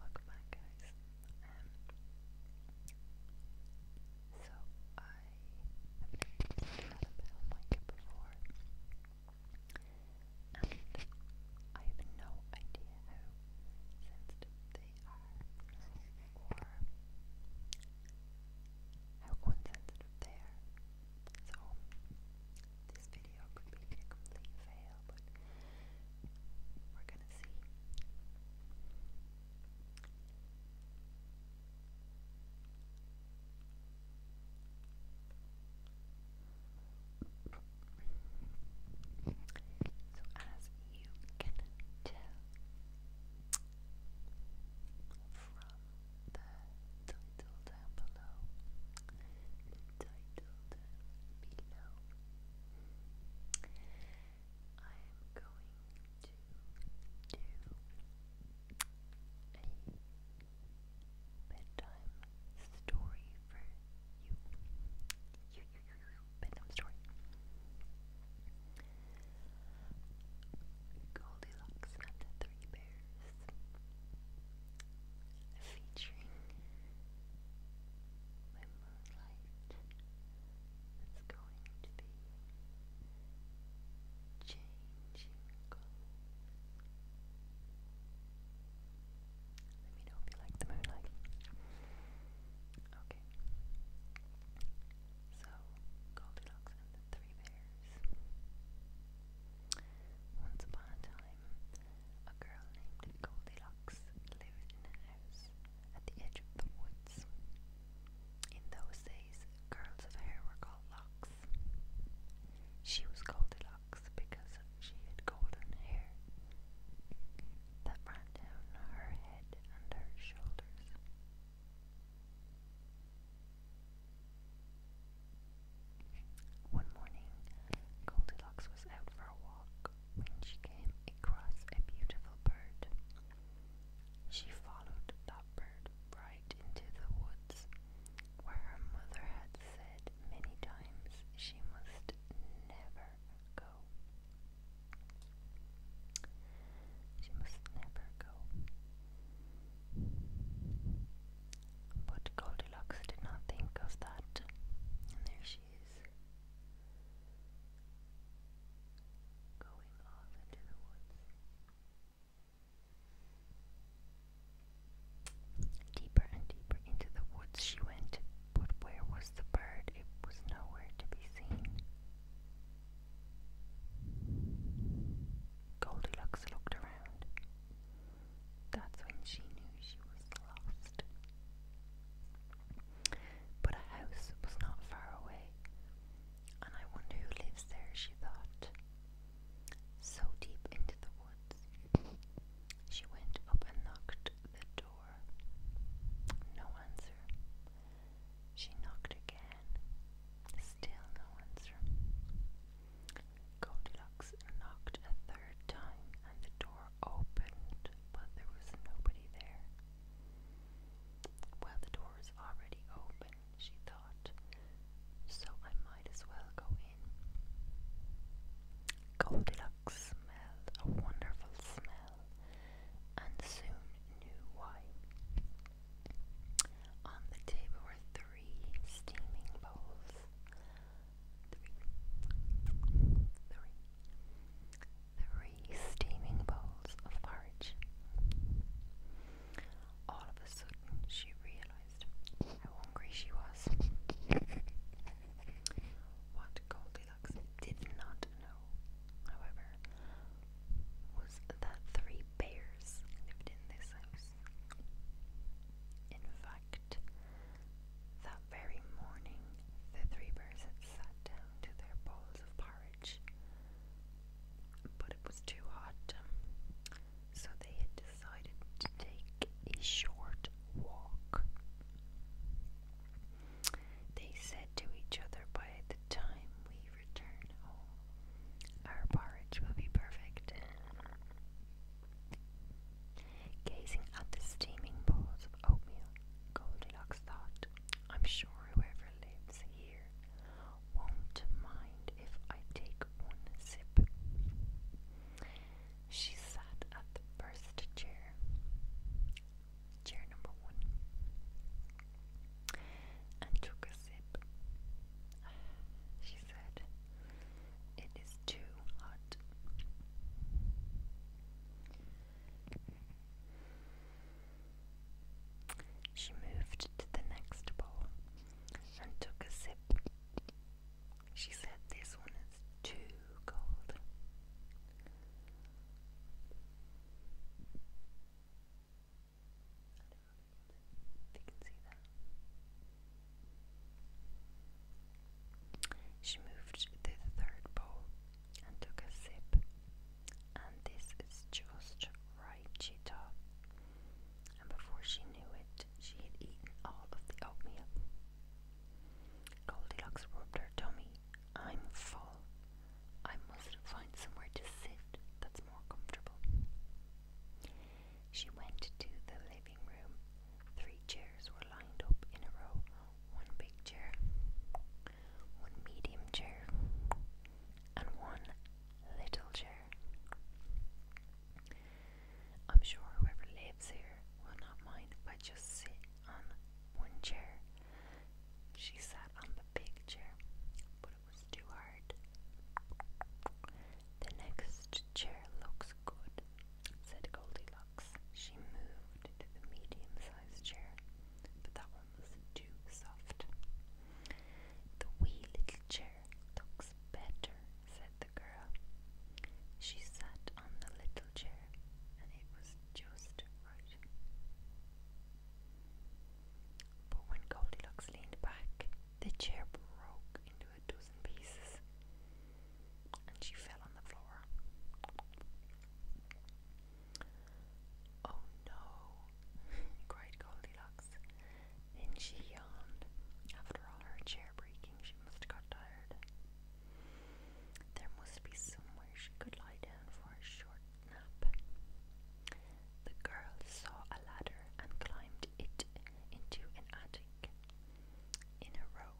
Welcome back guys. Um, so I have never used an Annabelle mic before and I have no idea how sensitive they are or how unsensitive they are. So, this video could be a complete fail, but we're gonna see. So, as you can tell from title down below. The title down below. I am going to do a bedtime story for you. you bedtime story. Goldilocks and the Three Bears, featuring moonlight. It's going to be changing Let me know if you like the moonlight. Okay. So, Goldilocks and the Three Bears. Once upon a time, a girl named Goldilocks lived in a house at the edge of the woods. In those days, curls of hair were called locks. She was Goldilocks because she had golden hair that ran down her head and her shoulders. One morning, Goldilocks was out for a walk when she came across a beautiful bird. She followed that bird right into the woods, where her mother had said many times she must never go. She must never go. But Goldilocks did not think of that, and there she is, going off into the woods. Deeper and deeper into the woods she went, but where was the bird? It was nowhere to be seen. Goldilocks looked around. That's when she knew she was lost. But a house was not far away, and I wonder who lives there, she thought. So deep into the woods. She went up and knocked the door. No answer. She knocked again. Still no answer. Goldilocks knocked a third time and the door opened, but there was nobody there. Well, the door is already open, she thought, so I might as well go in. Goldilocks smelled a wonderful smell and soon knew why. On the table were three steaming bowls. Three. steaming bowls of porridge. All of a sudden, she realized how hungry she was. What Goldie did not know, however, was that three bears lived in this house. In fact, that very morning, the three bears had sat down to their bowls of porridge, but it was too hot, so they had decided to take a short walk. They said to each other, By the time we return home, our porridge will be perfect. Gazing at the steaming bowls of oatmeal, Goldilocks thought, I'm sure whoever lives here won't mind if I take one sip. She sat at the first chair chair number one, and took a sip. She said, It is too hot. She moved to the next bowl and took a sip. She said, This one is too cold. She moved to the third bowl and took a sip. And this is just right, she thought. And before she knew it, she had eaten all of the oatmeal. Goldilocks rubbed her tummy. I'm full. I must find somewhere to sit that's more comfortable. She went to the living room. Three chairs were lined up in a row one big chair, one medium chair, and one little chair. I'm sure whoever lives here will not mind if I just sit on one chair she sat on the big chair, but it was too hard. The next chair looks good, said Goldilocks. She moved to the medium sized chair, but that one was too soft. The wee little chair looks better, said the girl. She sat on the little chair, and it was just but when Goldilocks leaned back, the chair broke into a dozen pieces and she fell on the floor. Oh no, cried Goldilocks. Then she yawned. After all her chair breaking, she must have got tired. There must be somewhere she could lie down for a short nap. The girl saw a ladder and climbed it into an attic. In a row,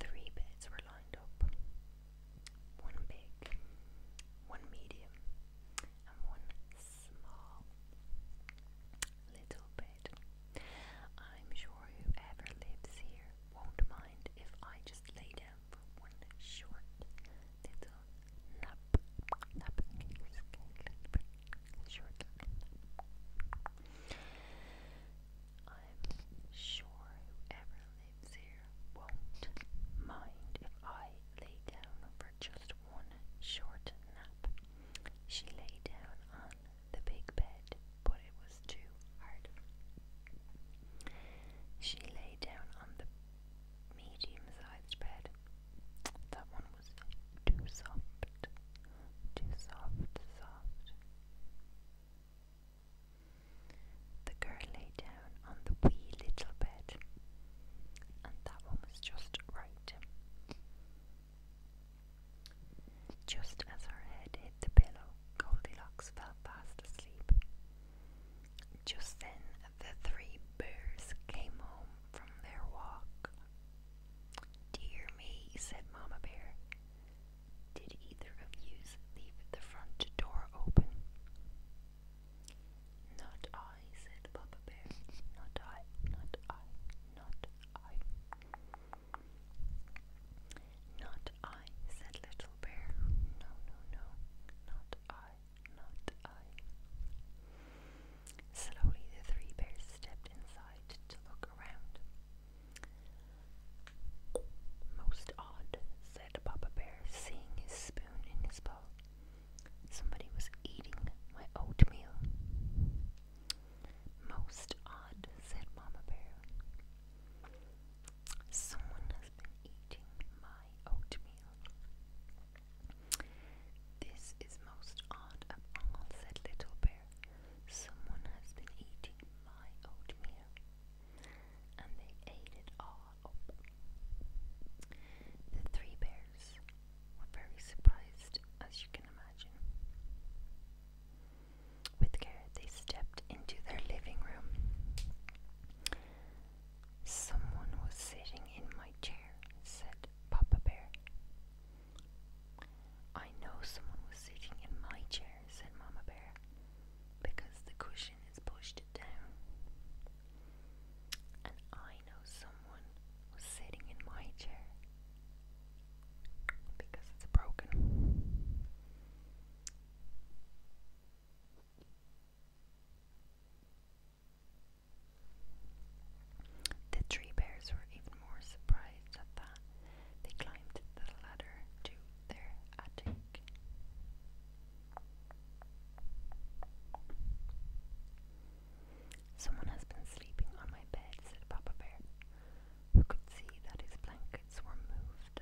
three beds were lined up one big, one medium, and one small little bed. I'm sure whoever lives here won't mind mind if I just lay down for one short little nap? Nap, short I'm sure whoever lives here won't mind if I lay down for just one short nap. She lay down on the big bed, but it was too hard. She lay down on the medium sized bed. That one was too soft. Too soft, soft. The girl lay down on the wee little bed, and that one was just right. Just as her head hit the pillow, Goldilocks fell fast asleep. Just then, the three bears came home from their walk. Dear me, said Mamma Bear, did either of you leave the front door open? Not I, said Papa Bear. Not I, not I, not I. Not I, said Little Bear. No, no, no, not I, not I. Slowly the three bears stepped inside to look around. Most odd, said Papa Bear, seeing his spoon in his bowl. Somebody was eating my oatmeal. Most odd, said Mama Bear. Someone has been eating my oatmeal. This is most odd of all, said Little Bear. Someone has been eating my oatmeal. And they ate it all up. The three bears were very surprised, as you can imagine. With care, they stepped into their living room. Someone was sitting in my chair, said Papa Bear. I know someone was sitting in my chair, said Mama Bear, because the cushion has pushed it down. And I know someone was sitting in my chair, because it's broken. The three bears were even more surprised at that. They climbed the ladder to their attic. Someone has been sleeping on my bed, said Papa Bear, who could see that his blankets were moved.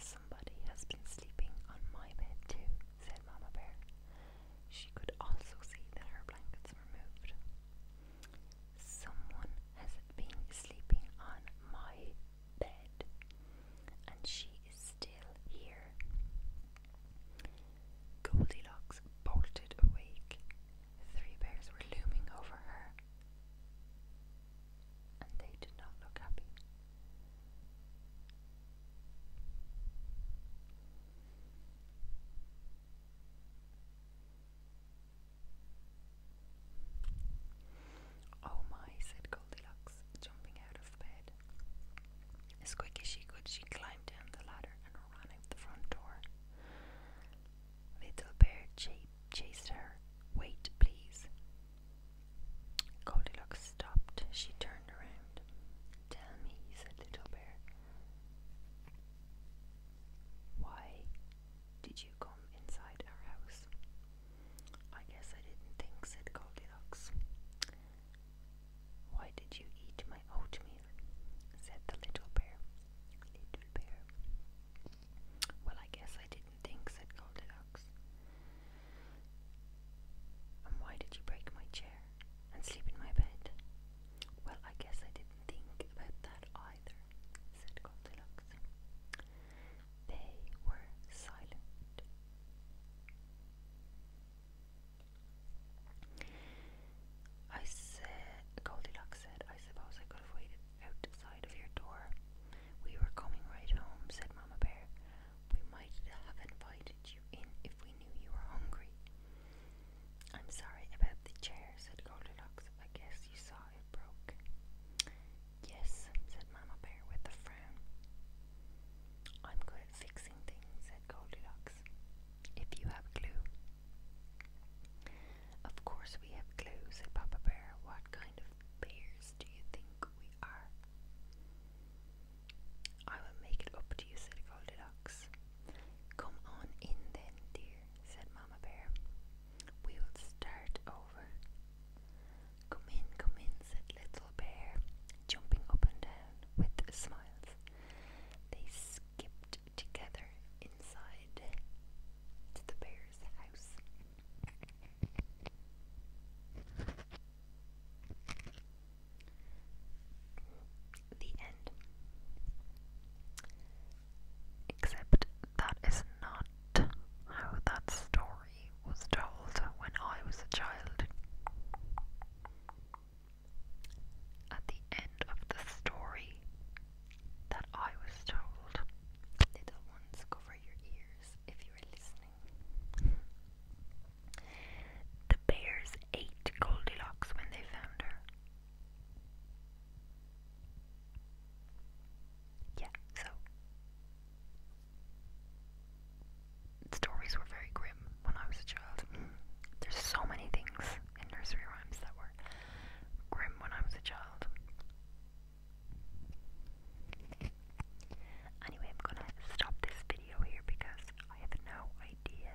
Somebody has been sleeping on my bed too, said Mama Bear. She could also see that her blankets were moved. Someone has been sleeping on my bed, and she is still here. Goldilocks bolted awake. Three bears were looming over her, and they did not look happy. Oh my, said Goldilocks, jumping out of bed. As quick as she could, she climbed down the ladder running the front door. Little bear chased her. Wait, please. Goldilocks stopped. She turned around. Tell me, said Little Bear, why did you come inside our house? I guess I didn't think, said Goldilocks. Why did you eat my oatmeal? said the little bear. Little bear. Well, I guess I didn't think, said Goldilocks. And why did you break my chair and sleep in my bed? Well, I guess I didn't think about that either, said Goldilocks. They were silent. I said, Goldilocks said, I suppose I could have waited outside of your door. We were coming right home, said Mama Bear. We might have invited you in if we knew you were hungry. I'm sorry about the chair, said Goldilocks. I guess you saw it broke. Yes, said Mama Bear with a frown. I'm good at fixing things, said Goldilocks. If you have glue. Of course we have glue, said Papa Bear. What kind of bears do you think we are? I will make it up to you, said Goldilocks. Come on in then, dear, said Mamma Bear. We will start over. Come in, come in, said Little Bear, jumping up and down with smiles. They together inside the bear's house. The end. Except that is not how that story was told when I was a child at the end of the story that I was told. Little ones, cover your ears if you're listening. The bears ate Goldilocks when they found her. Yeah, so stories were very grim when I was a child. There's so many things in nursery rhymes that were grim when I was a child. Anyway, I'm gonna stop this video here because I have no idea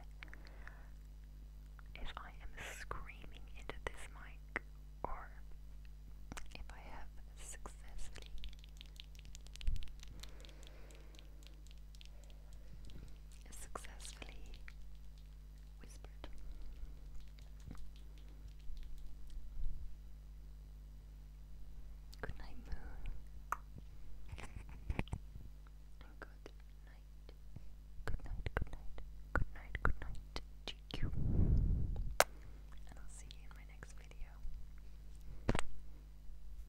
if I am screaming into this mic or if I have successfully successfully whispered. Good night, moon. And good night. Good night, good night. Good night, good night. GQ. And I'll see you in my next video.